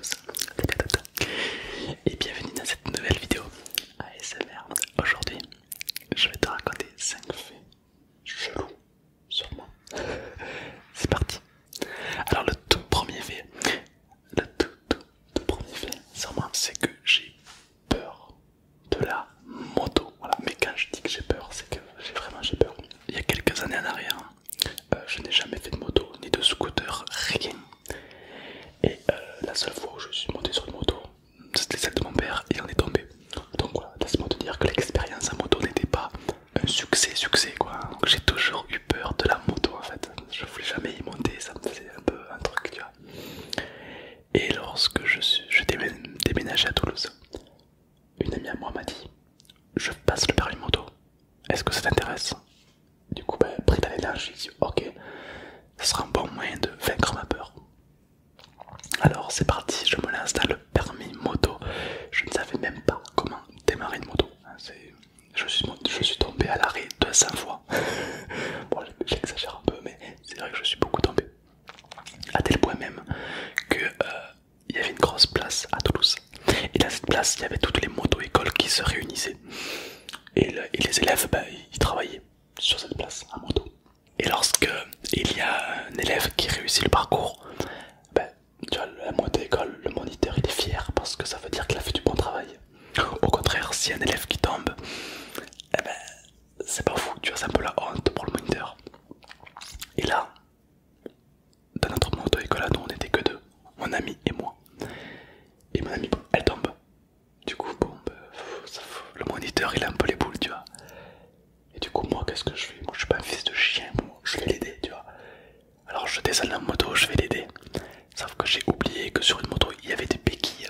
Salut à et bienvenue dans cette nouvelle vidéo ASMR. Aujourd'hui, je vais te raconter 5 faits chelous sur moi. C'est parti. Alors, le tout premier fait, le tout, premier fait sur moi, c'est que j'ai peur de la moto. Voilà, mais quand je dis que j'ai peur, c'est que j'ai vraiment peur. Il y a quelques années en arrière, euh, je n'ai jamais fait de moto ni de scooter, rien. Et euh, la seule fois où je suis monté sur une moto, c'était celle de mon père et on est tombé. Donc voilà, laisse-moi te dire que l'expérience en moto n'était pas un succès, succès quoi. j'ai toujours eu peur de la moto en fait. Je voulais jamais y monter, ça me faisait un peu un truc, Et lorsque je, suis, je à Toulouse, une amie à moi m'a dit Je passe le permis moto, est-ce que ça t'intéresse Du coup, ben, pris à l'énergie, Ok, ce sera un bon moyen de vaincre ma peur. Alors c'est parti, je me lance dans le permis moto. Je ne savais même pas comment démarrer une moto. Hein, je suis, tombé à l'arrêt 200 fois. bon, j'exagère un peu, mais c'est vrai que je suis beaucoup tombé. À tel point même que euh, il y avait une grosse place à Toulouse. Et dans cette place, il y avait toutes les moto-écoles qui se réunissaient. Et, les élèves, ben, ils travaillaient sur cette place à moto. Et lorsqu'il y a un élève qui réussit le parcours, ben, tu vois, la moto-école, le moniteur, il est fier parce que ça veut dire qu'il a fait du bon travail. Au contraire, si un élève qui tombe, eh ben, c'est pas fou, tu vois, c'est un peu la honte pour le moniteur. Et là, dans notre moto école on était que deux, mon ami et moi. Et mon ami, elle tombe. Du coup, bon, bah, le moniteur il a un peu les boules, tu vois. Et du coup, moi, qu'est-ce que je fais Moi, je suis pas un fils de chien, je vais l'aider, tu vois. Alors, je descends la moto, je vais l'aider. Sauf que j'ai oublié que sur une moto il y avait des béquilles.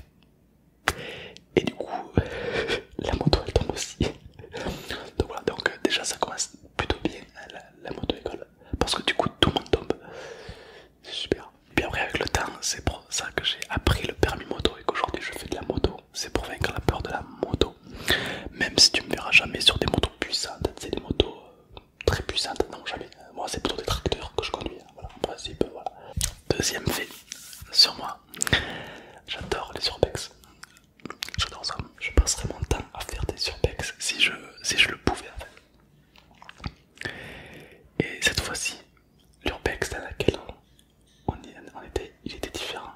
Et du coup, la moto elle tombe aussi. donc voilà, donc euh, déjà ça commence plutôt bien la, moto-école parce que du coup tout le monde tombe. C'est super. Et puis après avec le temps, c'est pour ça que j'ai appris le permis moto et qu'aujourd'hui je fais de la moto. C'est pour vaincre la peur de la moto. Même si tu me verras jamais sur des motos puissantes, c'est des motos euh, très puissantes, non jamais. Moi c'est plutôt des tracteurs que je conduis, hein. voilà, en principe, voilà. Deuxième fait sur moi, j'adore les surpex J'adore ça. Je passerais mon temps à faire des urbex, si je, je le pouvais Et cette fois-ci, l'urbex dans lequel on, était, il était différent.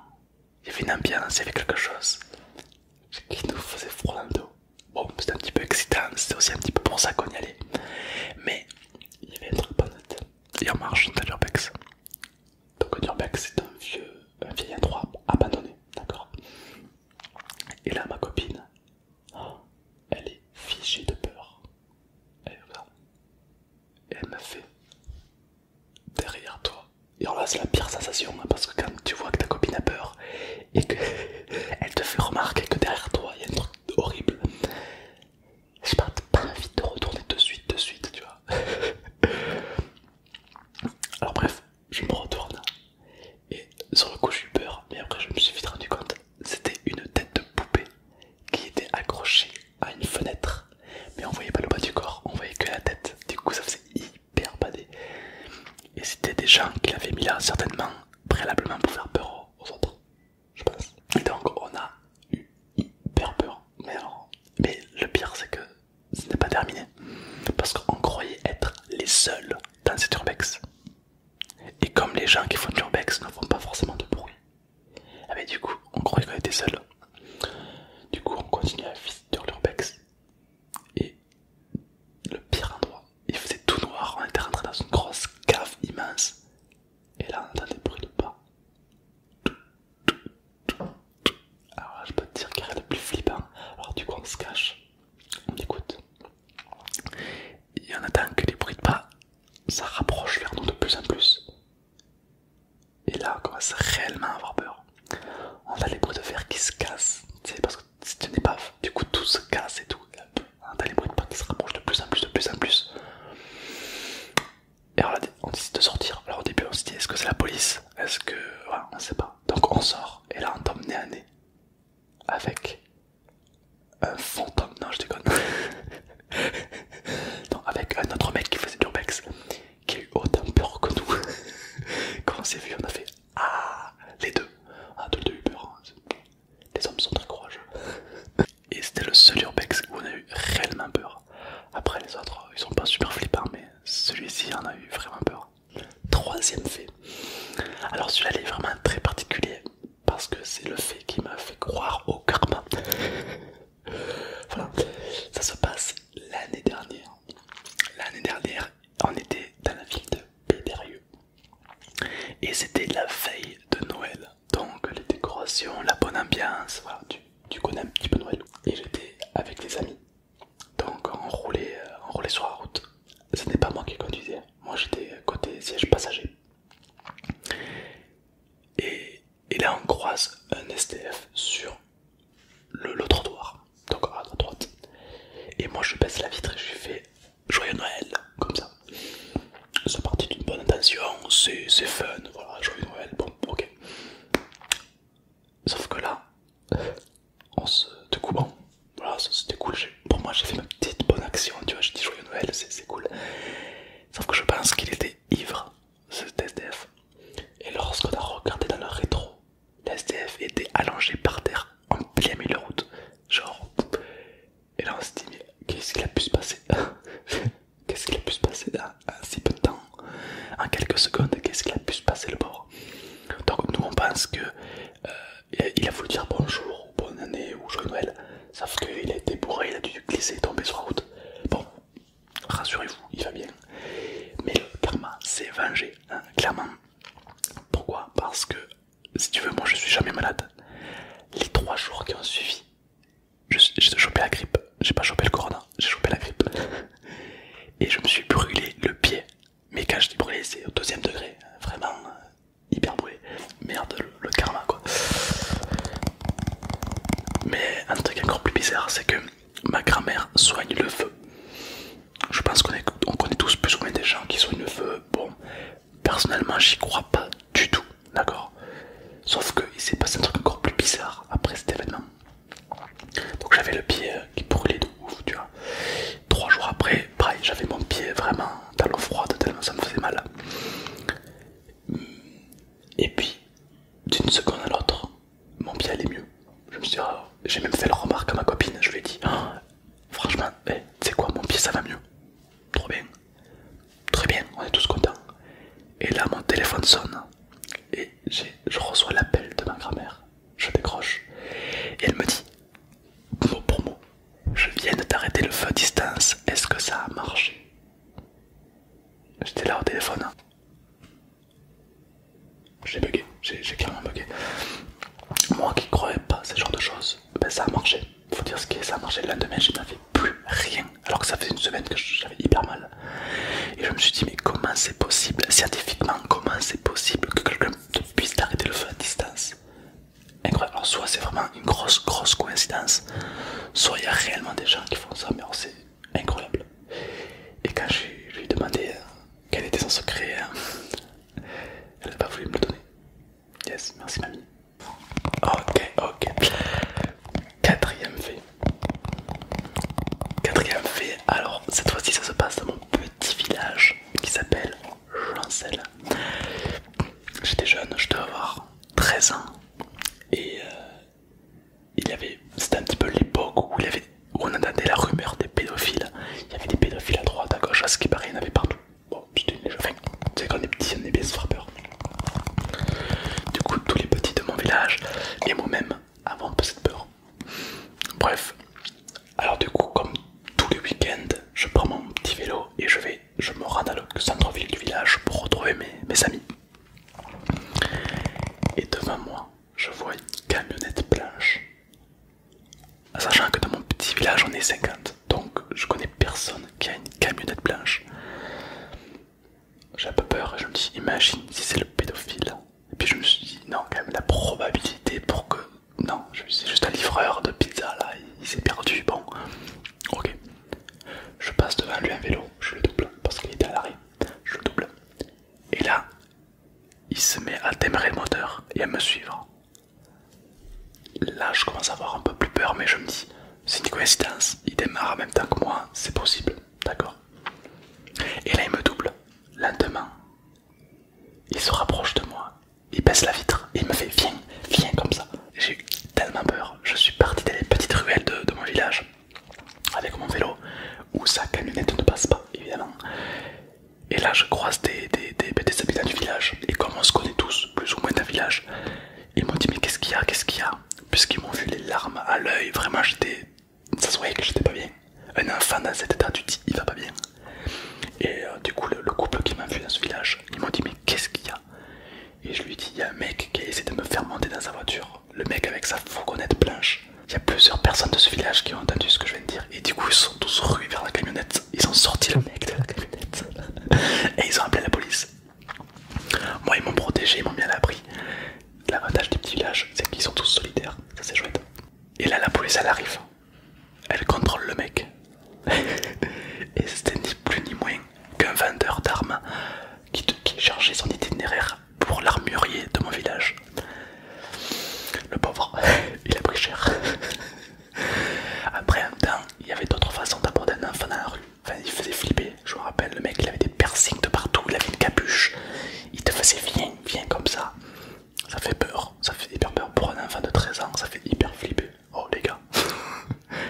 Il y avait une ambiance, il y avait quelque chose qui nous faisait froid dans le dos. Bon, c'était un petit peu excitant, c'était aussi un petit peu pour ça qu'on y allait. Mais il y avait un truc pas net. Et on marche dans l'urbex. Donc un c'est un vieux, vieil endroit abandonné, d'accord Et là ma copine, oh, elle est figée de peur. Elle regarde. elle me fait derrière toi. Et alors là c'est la pire sensation hein, parce que quand tu vois que ta copine a peur et que elle te fait remarquer que derrière toi il y a un truc horrible. Je pas, pas envie de retourner de suite, de suite, tu vois. Alors bref, je me retourne et sur le coup j'ai eu peur, mais après je me suis vite rendu compte, c'était une tête de poupée qui était accrochée à une fenêtre, mais on voyait pas le bas du corps, on voyait que la tête, du coup ça faisait hyper badé. Et c'était des gens qui l'avaient mis là certainement préalablement pour faire peur aux autres, je pense. Et donc on a eu hyper peur, mais alors, mais le pire c'est que ce n'est pas terminé. Parce qu'on croyait être les seuls dans cet urbex. Et comme les gens qui font de urbex ne font pas forcément de bruit, mais eh ben, du coup on croyait qu'on était seuls. Du coup on continue à visiter l'urbex. Et le pire endroit, il faisait tout noir, on était rentré dans une grosse cave immense. Et là on entendait des bruits de pas. Alors là, je peux te dire qu'il n'y a rien de plus flippant. Alors, du coup, on se cache, on écoute. Et on attend que les bruits de pas, ça rapproche vers nous de plus en plus. Et là, on commence réellement à avoir peur. On a les bruits de fer qui se cassent, tu sais, parce que c'est une épave. Du coup, tout se casse et tout. On a les bruits de pas qui se rapprochent de plus en plus, de plus en plus. Et alors on décide de sortir. Alors au début, on se dit est-ce que c'est la police est-ce que. Ouais, on sait pas. Donc on sort et là on tombe nez à nez avec un fantôme. Non, je déconne. avec un autre mec qui faisait du urbex qui a eu autant peur que nous. Quand on s'est vu, on a fait Ah Les deux. Ah, tous les deux eu hein. Les hommes sont très courageux. Et c'était le seul urbex où on a eu réellement peur. Après les autres, ils sont pas super flippants, mais celui-ci en a eu vraiment peur. Troisième fait. Alors celui-là est vraiment très particulier parce que c'est le fait qui m'a fait croire au karma. voilà, ça se passe l'année dernière. L'année dernière, on était dans la ville de Pédérieux et c'était la veille de Noël. Donc les décorations, la bonne ambiance, tu, connais un petit peu Noël. Et j'étais avec des amis donc euh, on roulait sur la route. Ce n'est pas moi qui conduisais, moi j'étais côté siège passager. Et, là on croise un STF sur le, le trottoir, donc à droite. Et moi je baisse la vitre et je fais Joyeux Noël, comme ça. C'est parti d'une bonne intention, c'est fun, voilà, Joyeux Noël, bon, ok. Sauf que là, on se bon, voilà, c'était cool. Pour moi, j'ai fait ma petite bonne action, tu vois, j'ai dit joyeux Noël, c'est cool. Sauf que je pense qu'il était ivre, ce SDF. Et lorsqu'on a regardé dans le rétro, l'SDF était allongé par terre, en plein milieu de route, genre. Et là, on s'est dit, mais qu'est-ce qu'il a pu se passer Qu'est-ce qu'il a pu se passer en si peu de temps, en quelques secondes, qu'est-ce qu'il a pu se passer le bord Donc nous on pense que euh, il a voulu dire bonjour ou bonne année ou joyeux Noël, sauf qu'il a été bourré, il a dû glisser tomber sur la route. Bon, rassurez-vous, il va bien. Mais le karma s'est vengé, hein, clairement. Pourquoi Parce que si tu veux, moi je suis jamais malade. Les trois jours qui ont suivi, j'ai chopé la grippe, j'ai pas chopé le corona j'ai chopé la grippe. Et je me suis brûlé le pied. Mais quand je dis brûlé, c'est au deuxième degré. Vraiment euh, hyper brûlé. Merde, le, karma quoi. Mais un truc encore plus bizarre, c'est que ma grand-mère soigne le feu. Je pense qu'on connaît tous plus ou moins des gens qui soignent le feu. Bon, personnellement, j'y crois pas du tout, d'accord Sauf qu'il s'est passé un truc encore plus bizarre après cet événement. Donc j'avais le pied euh, qui brûlait de ouf, tu vois. Trois jours après, pareil, j'avais mon pied vraiment dans l'eau froide tellement ça me faisait mal. Et puis, d'une seconde à l'autre, mon pied allait mieux. Je me suis oh, j'ai même fait le remarque à ma copine, je lui ai dit, oh, franchement, eh, tu sais quoi, mon pied ça va mieux. Trop bien. Très bien, on est tous contents. Et là, mon téléphone sonne et je reçois l'appel de ma grand-mère. Je décroche et elle me dit mot pour mot Je viens d'arrêter le feu à distance, est-ce que ça a marché J'étais là au téléphone. Hein. J'ai bugué, j'ai clairement bugué. Moi qui croyais pas ce genre de choses, ben ça a marché. Faut dire ce qui est, ça a marché. Le lendemain, je n'avais plus rien. Alors que ça faisait une semaine que j'avais hyper mal. Et je me suis dit, mais comment c'est possible, scientifiquement, comment c'est possible que quelqu'un puisse arrêter le feu à distance Incroyable. Alors, soit c'est vraiment une grosse, grosse coïncidence, soit il y a réellement des gens qui font ça, mais c'est incroyable. Et quand je lui ai demandé euh, quel était son secret, euh, elle n'a pas voulu me le donner. Yes, merci mamie. Ok, ok. Quatrième fait. Quatrième fait, alors cette fois-ci ça se passe dans mon petit village qui s'appelle Jancel. J'étais jeune, je devais avoir 13 ans et euh, il y avait, c'était un petit peu l'époque où, on entendait la rumeur des pédophiles. Il y avait des pédophiles à droite, à gauche, à ce qui paraît, il y en avait partout. Bon, c'était une enfin, c'est quand on est petit, on est bien frappeur. Du coup, tous les petits de mon village et moi-même, avant de cette peur. Bref, alors du coup, comme tous les week-ends, je prends mon petit vélo et je vais, je me rends dans le centre-ville du village pour retrouver mes, mes amis. Et devant moi, je vois une camionnette blanche. Sachant que dans mon petit village on est 50, donc je connais personne qui a une camionnette blanche. J'ai un peu peur, je me dis, imagine si c'est le pédophile. Et puis je me suis dit, non, quand même, la probabilité pour que. Non, c'est juste un livreur de pizza là, il, s'est perdu. Bon, ok. Je passe devant lui un vélo, je le double parce qu'il était à l'arrêt. Je le double. Et là, il se met à démarrer le moteur et à me suivre. Là, je commence à avoir un peu plus peur, mais je me dis, c'est une coïncidence, il démarre en même temps que moi, c'est possible. D'accord. Et là, il me double. Lentement. Il se rapproche de moi. Il baisse la vitre. Et il me fait viens, viens comme ça. J'ai eu tellement peur. Je suis parti dans les petites ruelles de, mon village avec mon vélo où sa camionnette ne passe pas, évidemment. Et là, je croise des, des, habitants du village. Et comme on se connaît tous, plus ou moins d'un village, ils m'ont dit Mais qu'est-ce qu'il y a Qu'est-ce qu'il y a Puisqu'ils m'ont vu les larmes à l'œil, vraiment, j'étais ça se voyait que j'étais pas bien. Un enfant dans cet état, tu dis, il va pas bien. Et euh, du coup, le, couple qui m'a vu dans ce village, ils m'ont dit, mais qu'est-ce qu'il y a Et je lui ai dit, il y a un mec qui a essayé de me faire monter dans sa voiture. Le mec avec sa fourgonnette blanche. Il y a plusieurs personnes de ce village qui ont entendu ce que je viens de dire. Et du coup, ils sont tous rues vers la camionnette. Ils ont sorti le mec de la camionnette. et ils ont appelé la police. Moi, ils m'ont protégé, ils m'ont mis à l'abri. L'avantage des petits villages, c'est qu'ils sont tous solitaires, ça c'est chouette. Et là, la police elle arrive, elle contrôle le mec. Et c'était ni plus ni moins qu'un vendeur d'armes qui, qui chargeait son itinéraire pour l'armurier de mon village. Le pauvre, il a pris cher. Après un temps, il y avait d'autres façons d'aborder un enfant dans la rue. Enfin, il faisait flipper, je me rappelle, le mec il avait des piercings de partout, il avait une capuche, il te faisait viens, viens comme ça. Ça fait peur, ça fait hyper peur pour un enfant de 13 ans, ça fait hyper flipper. Oh les gars,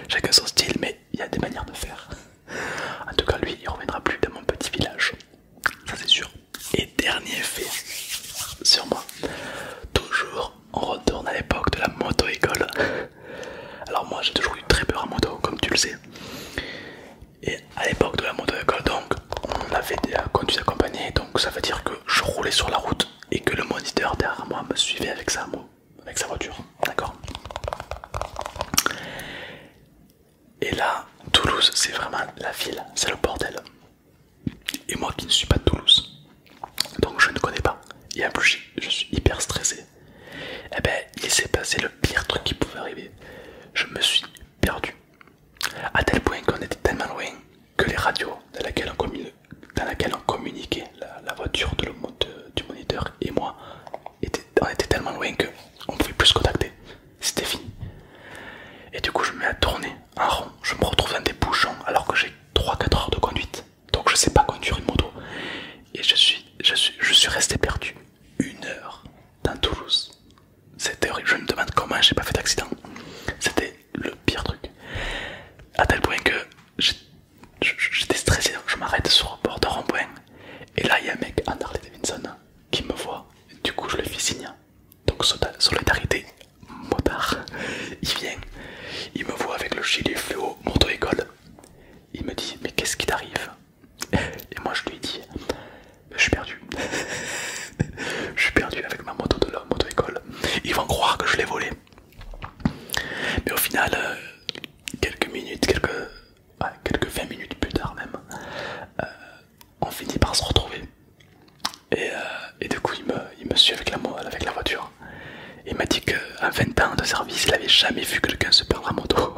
chacun son style, mais il y a des manières de faire. En tout cas, lui il reviendra plus dans mon petit village, ça c'est sûr. Et dernier fait sur moi, toujours on retourne à l'époque de la moto-école. Alors, moi j'ai toujours eu très peur à moto, comme tu le sais. Et à l'époque de la moto école, donc on avait des conduits accompagnés, donc ça veut dire que je roulais sur la route et que le moniteur derrière moi me suivait avec sa, avec sa voiture. D'accord Et là, Toulouse, c'est vraiment la ville, c'est le bordel. Et moi qui ne suis pas de Toulouse, donc je ne connais pas. Et en plus, je suis hyper stressé. Eh ben, il s'est passé le pire truc qui pouvait arriver. Je me suis perdu. À tel point qu'on était tellement loin que les radios dans lesquelles on, communiquait, la, voiture de du moniteur et moi, on était tellement loin que on pouvait plus se contacter. C'était fini. Et du coup, je me mets à tourner en rond. Je me retrouve dans des bouchons alors que j'ai 3-4 heures de conduite. Donc je sais pas conduire une moto. Et je suis, je suis, je suis resté perdu une heure dans Toulouse. C'était horrible. Je me demande comment j'ai pas fait d'accident. C'était le pire truc. À tel point que j'étais stressé. Donc je m'arrête sur le bord de rond Et là, il y a un mec, Anderley Davidson, qui me voit. Du coup, je le fais signe. Donc, solidarité, motard. Il vient, il me voit avec le gilet fluo moto-école. Il me dit Mais qu'est-ce qui t'arrive et moi je lui ai dit, je suis perdu. je suis perdu avec ma moto de la moto-école. Ils vont croire que je l'ai volé. Mais au final, euh, quelques minutes, quelques, quelques 20 minutes plus tard même, euh, on finit par se retrouver. Et, euh, du coup, il me, suit avec la, avec la voiture. Il m'a dit qu'à 20 ans de service, il n'avait jamais vu quelqu'un se perdre en moto.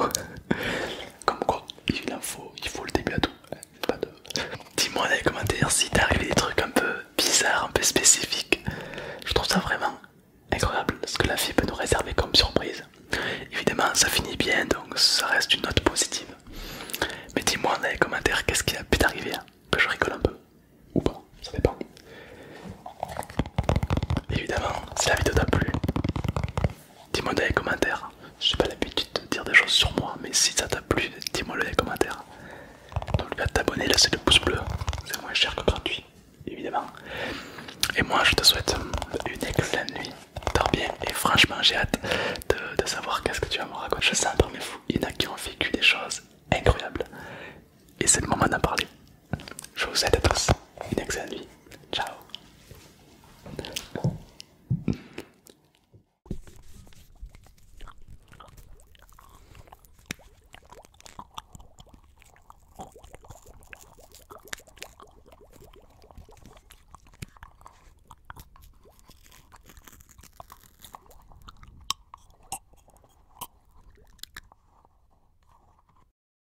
Comme quoi, il faut, le début à tout. Dis-moi dans les commentaires si arrivé des trucs un peu bizarres, un peu spécifiques. Je trouve ça vraiment incroyable ce que la vie peut nous réserver comme surprise. Évidemment, ça finit bien, donc ça reste une note positive. Mais dis-moi dans les commentaires qu'est-ce qui a pu t'arriver, hein. que je rigole un peu. Ou pas, ça dépend. Évidemment, si la vidéo t'a plu, Dis-moi dans les commentaires. J'ai pas l'habitude de dire des choses sur moi, mais si ça t'a plu, dis-moi dans les commentaires. Donc, pas de t'abonner, laisser le pouce bleu, c'est moins cher que gratuit, évidemment. Et moi je te souhaite une excellente nuit, dors bien et franchement j'ai hâte de, savoir qu'est-ce que tu vas me raconter. Je sais parmi vous, il y en a qui ont vécu des choses incroyables et c'est le moment d'en parler. Je vous souhaite à tous une excellente nuit. Ciao.